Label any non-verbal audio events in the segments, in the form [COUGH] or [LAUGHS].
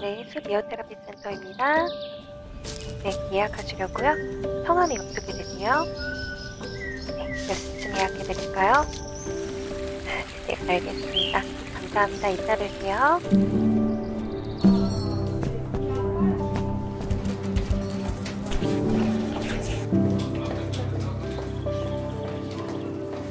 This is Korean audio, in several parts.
네, 수비오테라피 센터입니다. 네, 예약하시려고요. 성함이 어떻게 되세요? 네, 몇시쯤 예약해드릴까요? [LAUGHS] 네, 알겠습니다. 감사합니다. 이따 뵐게요.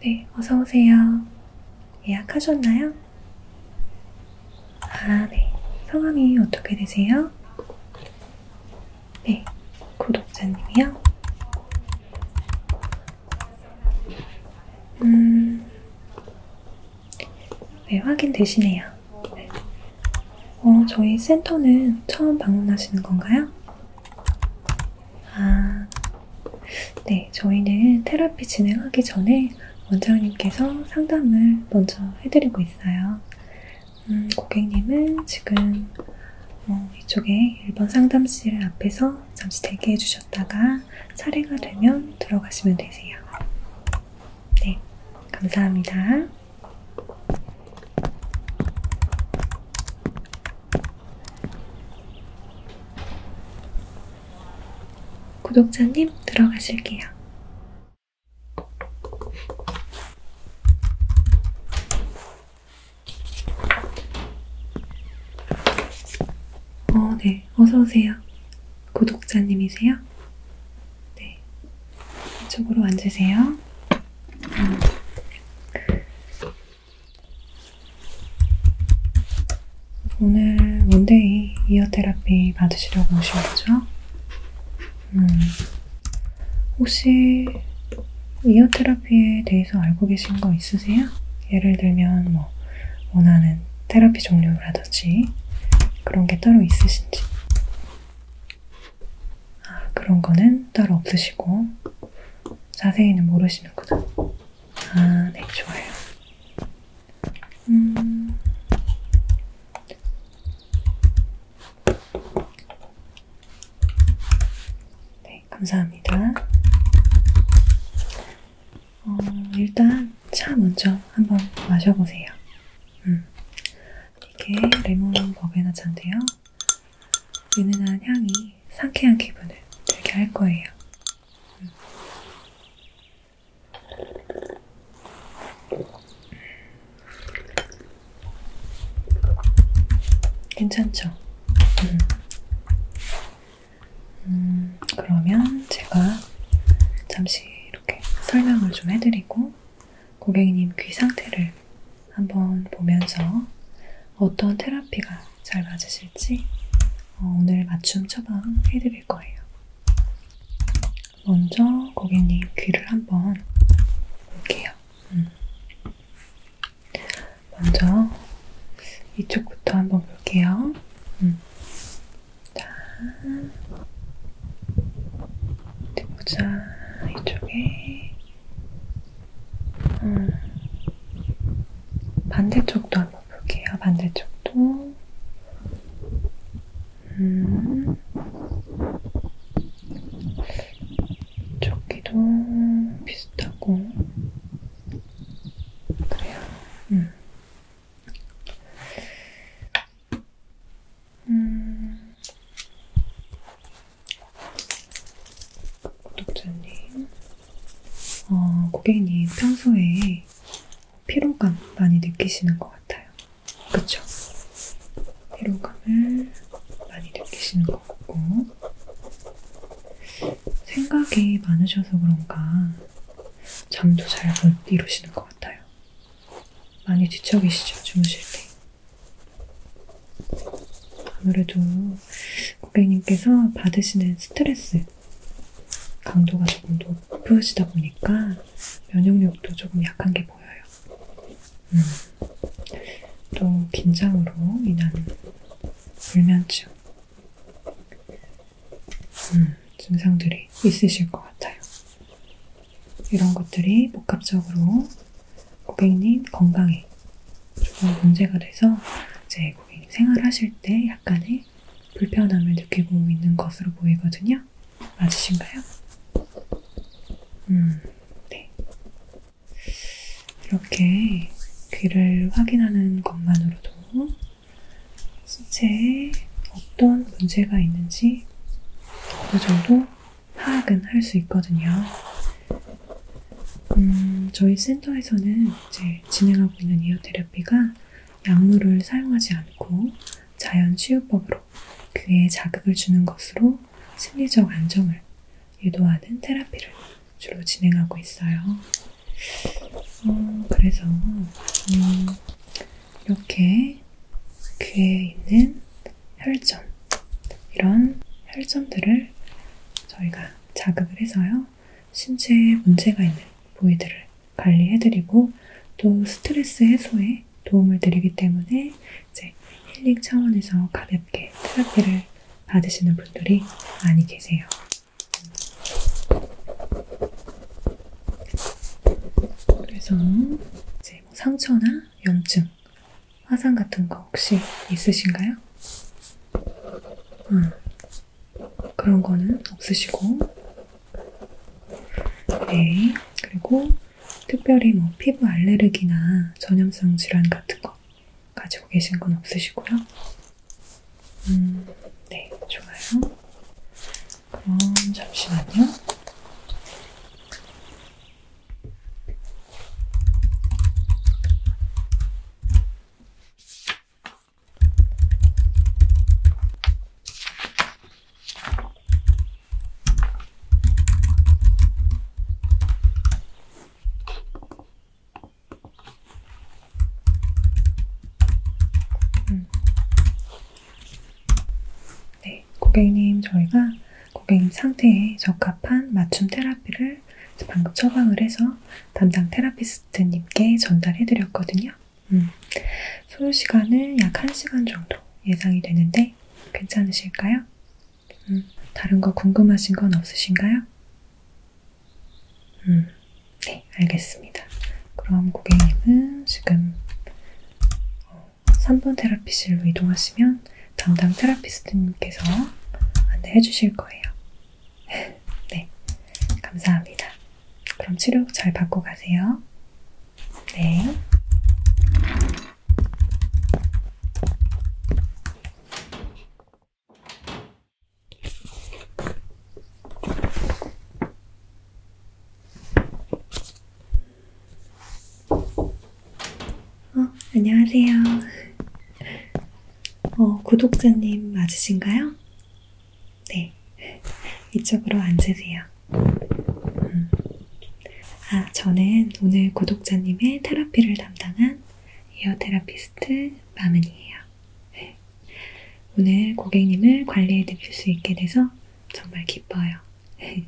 네, 어서오세요. 예약하셨나요? 아, 네. 성함이 어떻게 되세요? 네, 구독자님이요? 음, 네, 확인되시네요. 어, 저희 센터는 처음 방문하시는 건가요? 아, 네, 저희는 테라피 진행하기 전에 원장님께서 상담을 먼저 해드리고 있어요. 음, 고객님은 지금 어, 이쪽에 1번 상담실 앞에서 잠시 대기해 주셨다가 차례가 되면 들어가시면 되세요. 네, 감사합니다. 구독자님 들어가실게요. 어, 네. 어서오세요. 구독자님이세요? 네. 이쪽으로 앉으세요. 음. 오늘 원데이 이어 테라피 받으시려고 오신 거죠? 음. 혹시 이어 테라피에 대해서 알고 계신 거 있으세요? 예를 들면 뭐 원하는 테라피 종류라든지 그런 게 따로 있으신지. 아, 그런 거는 따로 없으시고 자세히는 모르시는구나. 아, 네, 좋아요. 음... 네, 감사합니다. 어, 일단 차 먼저 한번 마셔보세요. 음. 이게 레몬 버게나 차인데요. 은은한 향이 상쾌한 기분을 들게 할 거예요. 음. 괜찮죠? 음. 음, 그러면 제가 잠시 이렇게 설명을 좀 해드리고 고객님 귀 상태를 한번 보면서 어떤 테라피가 잘 맞으실지 어, 오늘 맞춤 처방 해드릴 거예요. 먼저 고객님 귀를 한번 볼게요. 음. 먼저 이쪽부터 한번 볼게요. 음. 자, 보자. 이쪽에 음. 반대쪽도 한번 볼게요. 반대쪽도. 음. 조끼도 비슷하고. 그래요. 음. 음, 구독자님, 어, 고객님 평소에 피로감 많이 느끼시는 것 같아요. 그쵸? 피로감을 많이 느끼시는 것 같고, 생각이 많으셔서 그런가 잠도 잘 못 이루시는 것 같아요. 많이 지쳐 계시죠? 주무실 때. 아무래도 고객님께서 받으시는 스트레스 강도가 조금 높으시다 보니까 면역력도 조금 약한 게 보여요. 음, 또 긴장으로 인한 불면증 음, 증상들이 있으실 것 같아요. 이런 것들이 복합적으로 고객님 건강에 조금 문제가 돼서 이제 고객님 생활하실 때 약간의 불편함을 느끼고 있는 것으로 보이거든요. 맞으신가요? 음, 네. 이렇게 귀를 확인하는 것만으로도 신체에 어떤 문제가 있는지 어느 정도 파악은 할 수 있거든요. 음, 저희 센터에서는 이제 진행하고 있는 이오테라피가 약물을 사용하지 않고 자연 치유법으로 귀에 자극을 주는 것으로 심리적 안정을 유도하는 테라피를 주로 진행하고 있어요. 어, 그래서 음, 이렇게 귀에 있는 혈점 이런 혈점들을 저희가 자극을 해서요 신체에 문제가 있는 부위들을 관리해드리고 또 스트레스 해소에 도움을 드리기 때문에 이제 힐링 차원에서 가볍게 테라피를 받으시는 분들이 많이 계세요. 그래서 이제 뭐 상처나 염증 화상 같은 거 혹시 있으신가요? 음, 그런 거는 없으시고. 네, 그리고 특별히 뭐 피부 알레르기나 전염성 질환 같은 거 가지고 계신 건 없으시고요. 음, 네, 좋아요. 그럼 잠시만요. 음. 네, 고객님 저희가 고객님 상태에 적합한 맞춤 테라피를 방금 처방을 해서 담당 테라피스트님께 전달해드렸거든요. 음, 소요 시간은 약 1시간 정도 예상이 되는데 괜찮으실까요? 음, 다른 거 궁금하신 건 없으신가요? 음, 네, 알겠습니다. 그럼 고객님은 지금 어, 3번 테라피실로 이동하시면 담당 테라피스트님께서 안내해 주실 거예요. [LAUGHS] 네, 감사합니다. 그럼 치료 잘 받고 가세요. 네. 어, 안녕하세요. 어, 구독자님 맞으신가요? 네. 이쪽으로 앉으세요. 음. 아, 저는 오늘 구독자님의 테라피를 담당한 에어 테라피스트 마은이에요. 오늘 고객님을 관리해 드릴 수 있게 돼서 정말 기뻐요. [LAUGHS]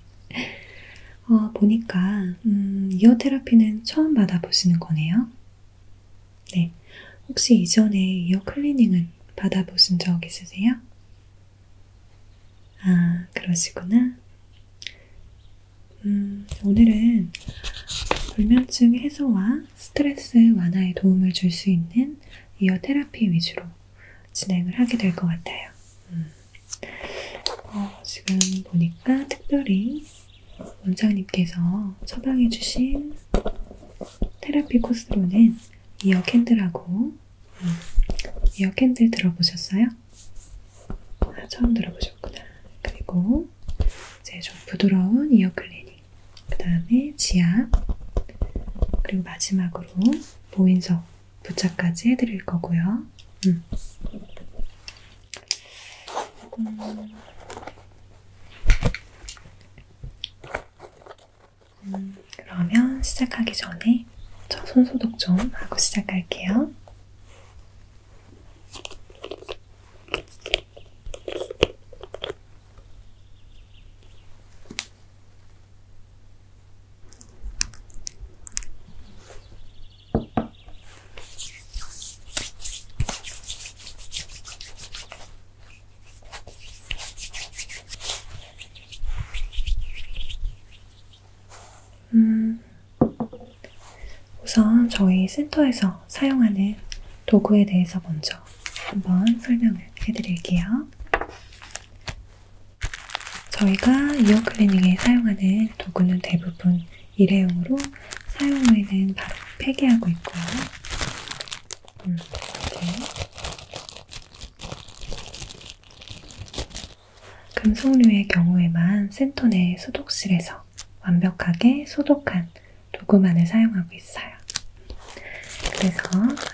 어, 보니까 음, 이어 테라피는 처음 받아보시는 거네요. 네, 혹시 이전에 이어 클리닝은 받아보신 적 있으세요? 아, 그러시구나. 음, 오늘은 불면증 해소와 스트레스 완화에 도움을 줄 수 있는 이어 테라피 위주로 진행을 하게 될 것 같아요. 음. 어, 지금 보니까 특별히 원장님께서 처방해주신 테라피 코스로는 이어 캔들하고 음, 이어 캔들 들어보셨어요? 아, 처음 들어보셨구나. 그리고 이제 좀 부드러운 이어 클리닝, 그 다음에 지압, 그리고 마지막으로 보인석 부착까지 해드릴 거고요. 음. 음. 음, 그러면 시작하기 전에 저 손소독 좀 하고 시작할게요. 음, 우선 저희 센터에서 사용하는 도구에 대해서 먼저 한번 설명을 해드릴게요. 저희가 이어 클리닝에 사용하는 도구는 대부분 일회용으로 사용 후에는 바로 폐기하고 있고요. 금속류의 경우에만 센터 내 소독실에서 완벽하게 소독한 도구만을 사용하고 있어요. 그래서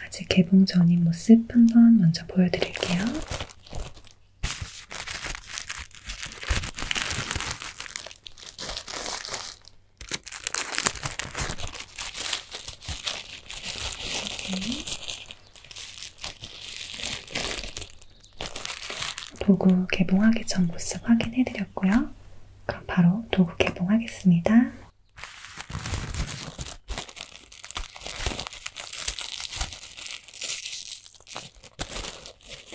아직 개봉 전인 모습 한번 먼저 보여드릴게요. 도구 개봉하기 전 모습 확인해드렸고요. 그럼 바로 도구 개봉하겠습니다.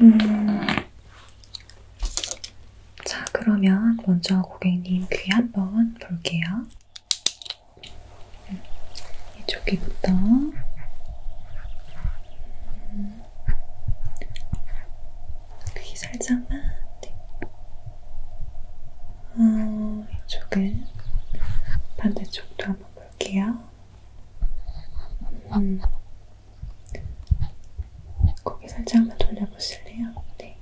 음. 자, 그러면 먼저 고객님 귀 한번 볼게요. 이쪽 귀부터. 음. 귀 살짝만. 네. 어, 이쪽은 반대쪽도 한번 볼게요. 음. 고개 살짝만 돌려보실래요? 네.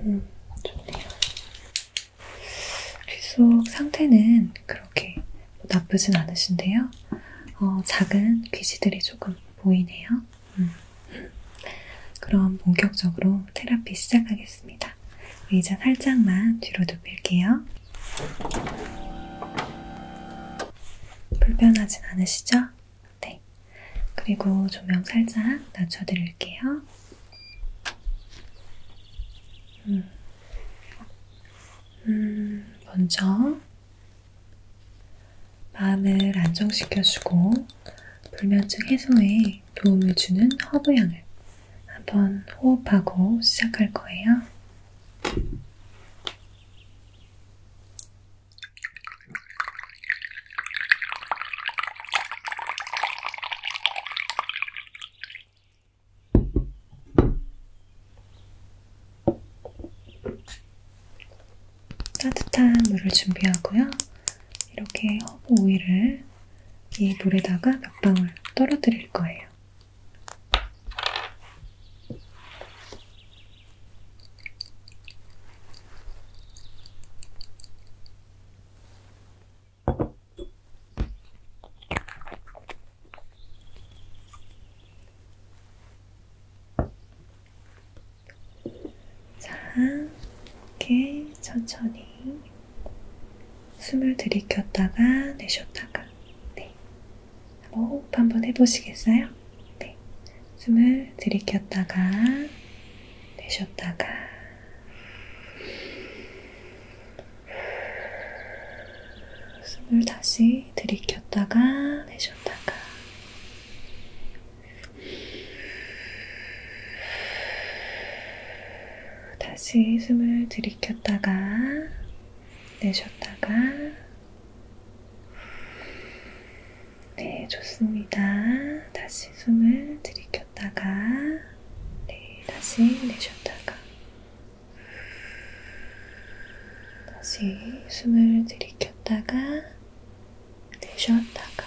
음, 좋네요. 귀 속 상태는 그렇게 뭐 나쁘진 않으신데요. 어, 작은 귀지들이 조금 보이네요. 음. 그럼 본격적으로 테라피 시작하겠습니다. 있습니다. 의자 살짝만 뒤로 눕힐게요. 불편하진 않으시죠? 네. 그리고 조명 살짝 낮춰드릴게요. 음, 음 먼저 마음을 안정시켜주고 불면증 해소에 도움을 주는 허브향을 한번 호흡하고 시작할 거예요. 따뜻한 물을 준비하고요. 이렇게 허브 오일을 이 물에다가 몇 방울 떨어뜨릴 거예요. 자, 이렇게 천천히 숨을 들이켰다가 내쉬었다가 네. 한번 호흡 한번 해보시겠어요? 네. 숨을 들이켰다가 내쉬었다가 숨을 다시 들이켰다가 내쉬었다가 다시 숨을 들이켰다가 내쉬었다가 네, 좋습니다. 다시 숨을 들이켰다가 네, 다시 내쉬었다가 다시 숨을 들이켰다가 내쉬었다가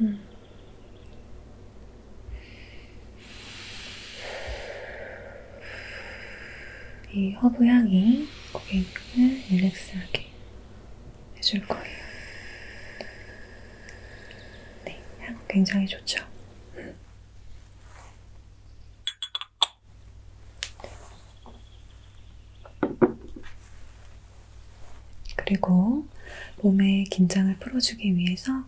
음. 이 허브 향이 고객님을 릴렉스하게 해줄 거예요. 네, 향 굉장히 좋죠? 음. 그리고 몸의 긴장을 풀어주기 위해서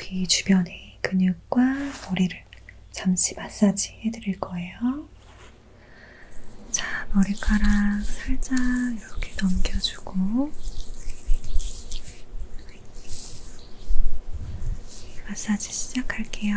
귀 주변의 근육과 머리를 잠시 마사지 해드릴 거예요. 자, 머리카락 살짝 이렇게 넘겨주고 마사지 시작할게요.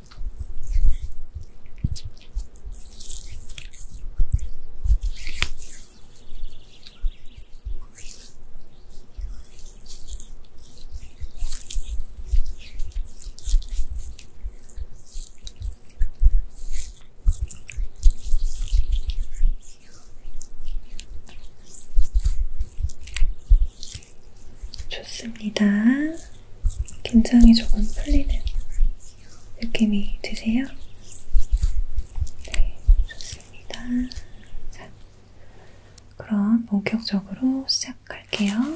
좋습니다. 긴장이 조금 풀리는 느낌이 드세요? 네, 좋습니다. 자, 그럼 본격적으로 시작할게요.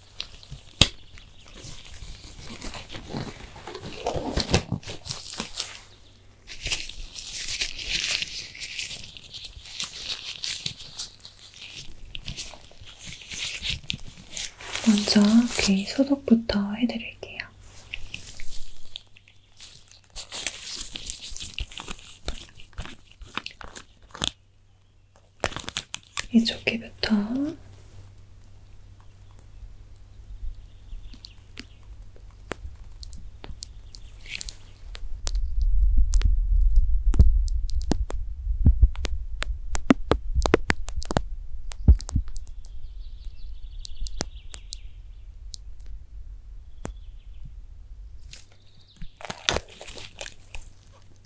먼저 귀 소독부터 해드릴게요. 이쪽에부터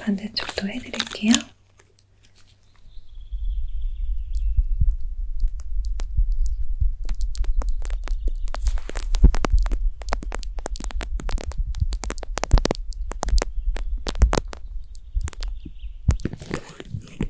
반대쪽도 해드릴게요.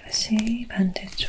다시 반대쪽.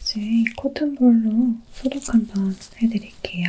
이제 이 코튼볼로 소독 한번 해드릴게요.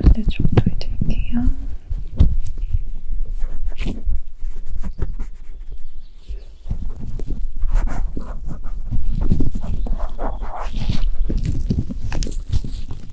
반대쪽도 네, 해드릴게요.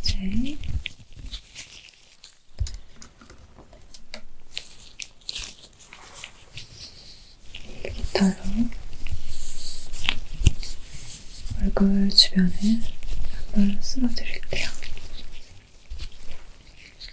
이제 기타로 얼굴 주변에 한번 쓸어드릴게요. 자,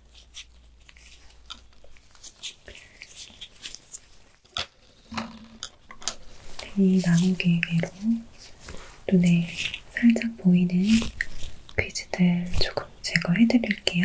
이 나무길 위로 눈에 살짝 보이는 귀지들 조금 제거해 드릴게요.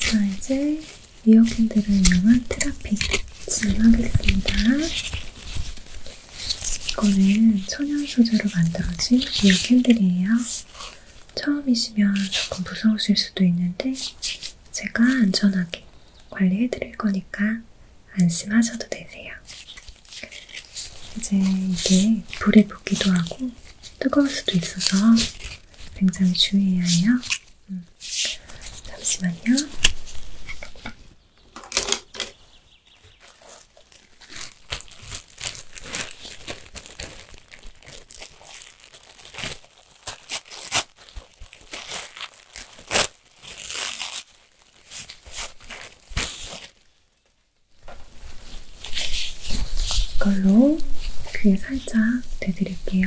자, 이제 미역인들을 이용한 트라픽 진행하겠습니다. 이거는 천연 소재로 만들어진 미역 캔들이에요. 처음이시면 조금 무서우실 수도 있는데 제가 안전하게 관리해드릴 거니까 안심하셔도 되세요. 이제 이게 불에 붙기도 하고 뜨거울 수도 있어서 굉장히 주의해야 해요. 음. 잠시만요. 이걸로 귀에 살짝 대드릴게요.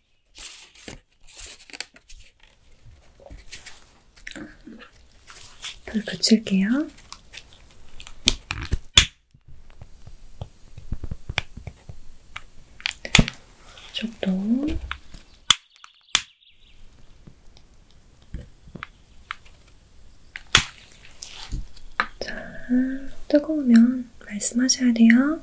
불 붙일게요. 이쪽도 자, 뜨거우면 말씀하셔야 돼요.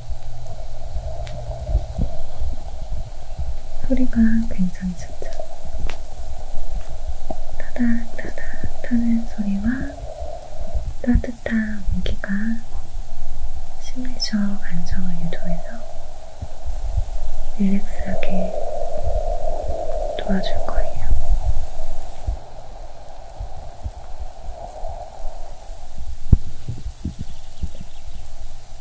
소리가 굉장히 좋죠. 타닥 타닥 타는 소리와 따뜻한 온기가 심리적 안정을 유도해서 릴렉스하게 도와줄 거예요.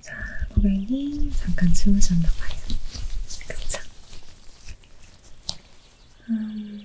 자, 고객님 잠깐 주무셨나 봐요. 그쵸? 음...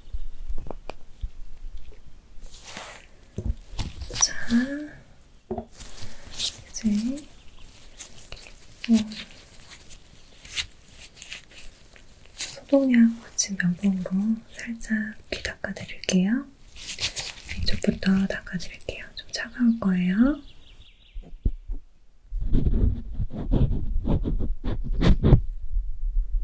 자, 이제 어, 소독약 거친 면봉으로 살짝 귀 닦아드릴게요. 이쪽부터 닦아드릴게요. 좀 차가울 거예요.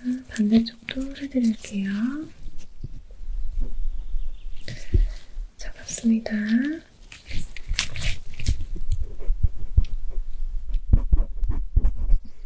자, 반대쪽도 해드릴게요. 잡았습니다.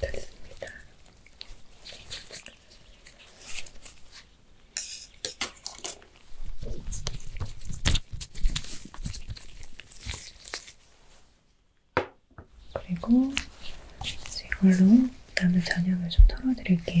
됐습니다. 그리고 이걸로 남은 잔향을 좀 털어드릴게요.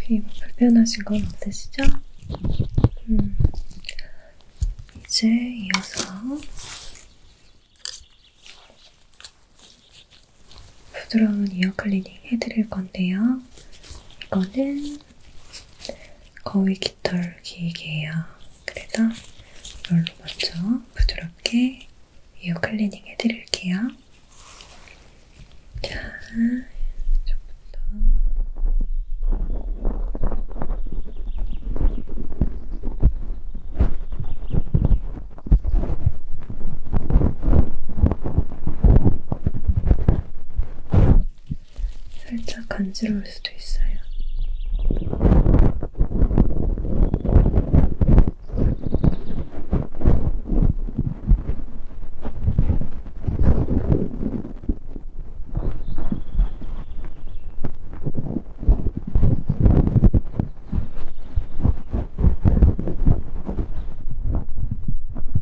귀 불편하신 건 없으시죠? 음. 이제 이어서 부드러운 이어 클리닝 해드릴 건데요. 이거는 거위 깃털 길게요. 그래서 이걸로 먼저 부드럽게 에어 클리닝 해드릴게요. 자, 이쪽부터. 살짝 간지러울 수도 있어요.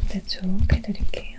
반대쪽 해드릴게요.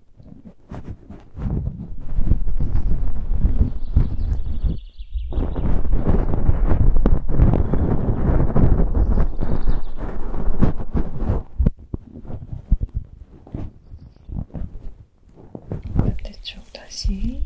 반대쪽 다시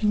반대쪽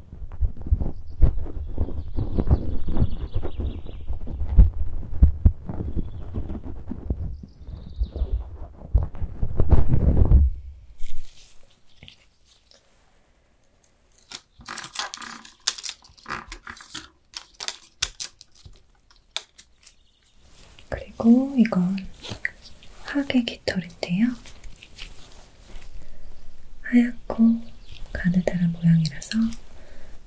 그리고 이건 하객 깃털인데요. 하얗고 가느다란 모양이라서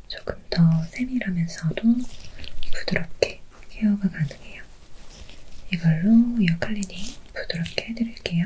조금 더 세밀하면서도 부드럽게 케어가 가능해요. 이걸로 이어 클리닝 부드럽게 해드릴게요.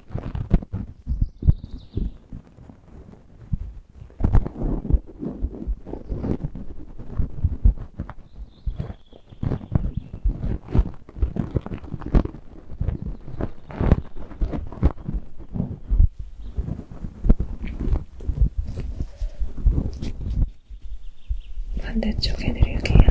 반대쪽 해드릴게요.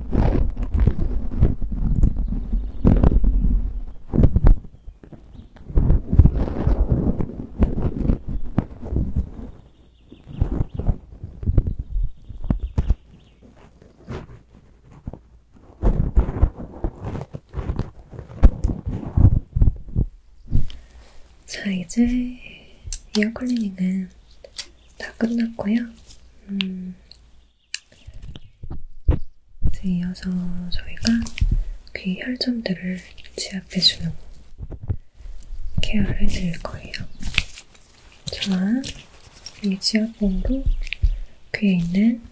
자, 이제 에어 클리닝은 다 끝났고요. 음, 이제 이어서 저희가 귀 혈점들을 지압해주는 케어를 해드릴 거예요. 자, 이 지압봉으로 귀에 있는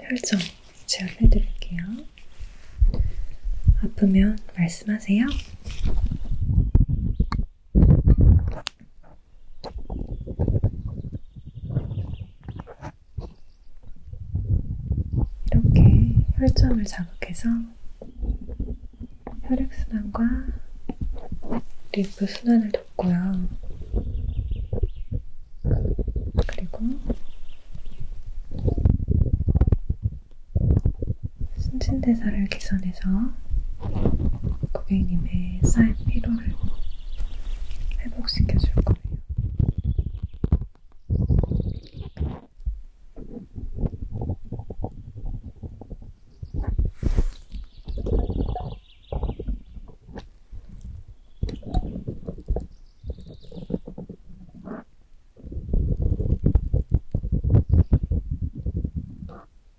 혈점 지압해드릴게요. 아프면 말씀하세요. 이렇게 혈점을 자극해서 혈액순환과 리프순환을 돕고요. 그리고 신진대사를 개선 안에서 고객님의 쌓인 피로를 회복시켜 줄 거예요.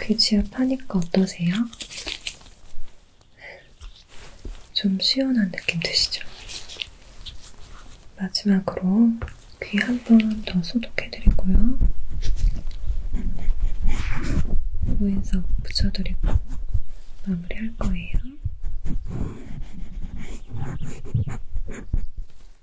귀 지압하니까 어떠세요? 좀 시원한 느낌 드시죠? 마지막으로 귀 한번 더 소독해드리고요. 무인석 붙여드리고 마무리할 거예요.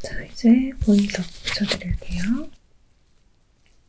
자, 이제 보일러 붙여드릴게요.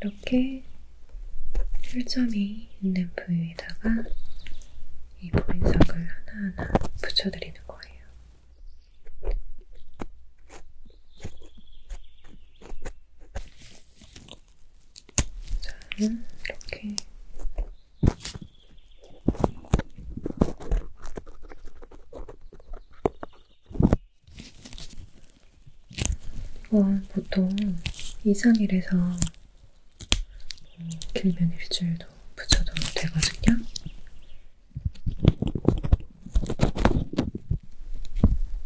이렇게 실점이 있는 부위에다가 이 보인석을 하나하나 붙여드리는 거예요. 저는 이렇게 이건 보통 2, 3일에서 음, 길면 일주일도 붙여도 되거든요.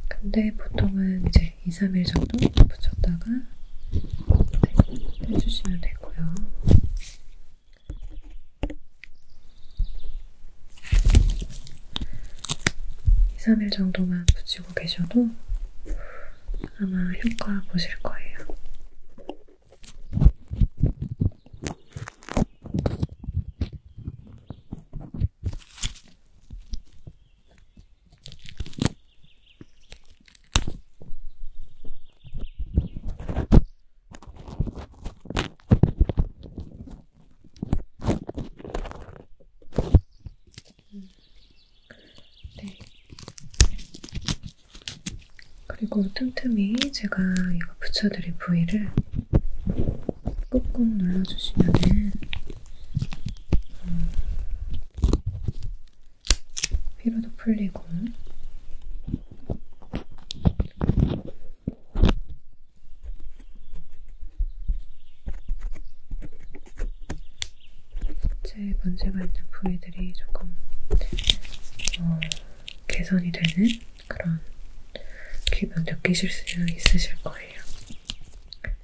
근데 보통은 이제 네, 2, 3일 정도 붙였다가 빼주시면 되고요. 이삼일 정도만 붙이고 계셔도 아마 효과 보실 거예요. 음. 네. 그리고 틈틈이 제가 이거 붙여드릴 부위를 꾹꾹 눌러주시면은 음, 피로도 풀리고 실제 문제가 있는 부위들이 조금 어, 개선이 되는 그런 기분 느끼실 수 있으실 거예요.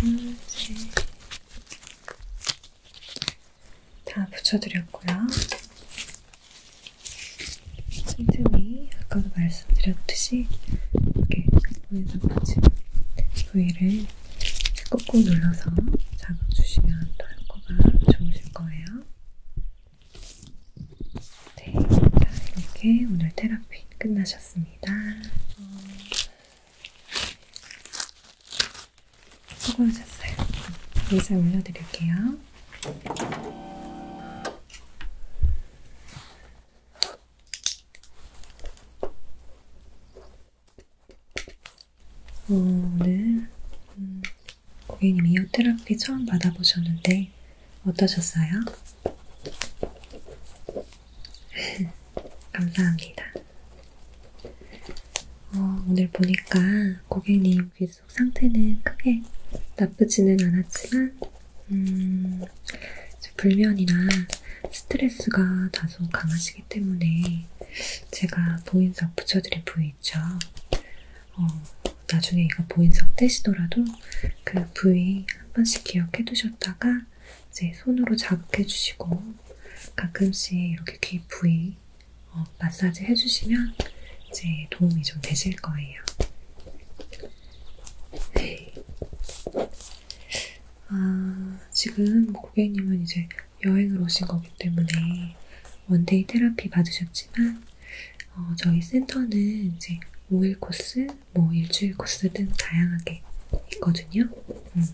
다음 이제 다 붙여드렸고요. 틈틈이 아까도 말씀드렸듯이 이렇게 오늘같이 부위를 꾹꾹 눌러서 잡아주시면 털코가 좋으실 거예요. 네, 자, 이렇게 오늘 테라피 끝나셨습니다. 어, 수고하셨어요. 의자 올려드릴게요. 오늘 음, 고객님 이어 테라피 처음 받아보셨는데 어떠셨어요? [LAUGHS] 감사합니다. 어, 오늘 보니까 고객님 귀 속 상태는 크게 나쁘지는 않았지만, 음, 불면이나 스트레스가 다소 강하시기 때문에 제가 보인석 붙여드린 부위 있죠. 어, 나중에 이거 보인석 떼시더라도 그 부위 한 번씩 기억해 두셨다가 이제 손으로 자극해 주시고 가끔씩 이렇게 귀 부위 어, 마사지 해주시면 이제 도움이 좀 되실 거예요. 네. 아, 지금 뭐 고객님은 이제 여행을 오신 거기 때문에 원데이 테라피 받으셨지만 어, 저희 센터는 이제 5일 코스, 뭐 일주일 코스 등 다양하게 있거든요. 음.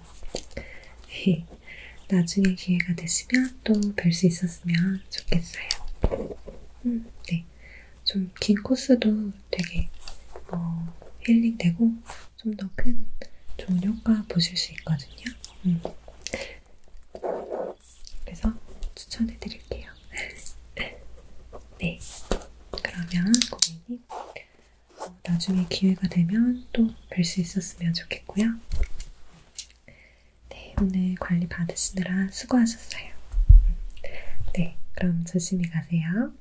[LAUGHS] 나중에 기회가 되시면 또 뵐 수 있었으면 좋겠어요. 음, 네. 좀 긴 코스도 되게 어, 힐링되고 좀 더 큰 좋은 효과 보실 수 있거든요. 음. 그래서 추천해 드릴게요. [LAUGHS] 네. 그러면 고객님, 어, 나중에 기회가 되면 또 뵐 수 있었으면 좋겠고요. 네, 오늘 관리 받으시느라 수고하셨어요. 네, 그럼 조심히 가세요.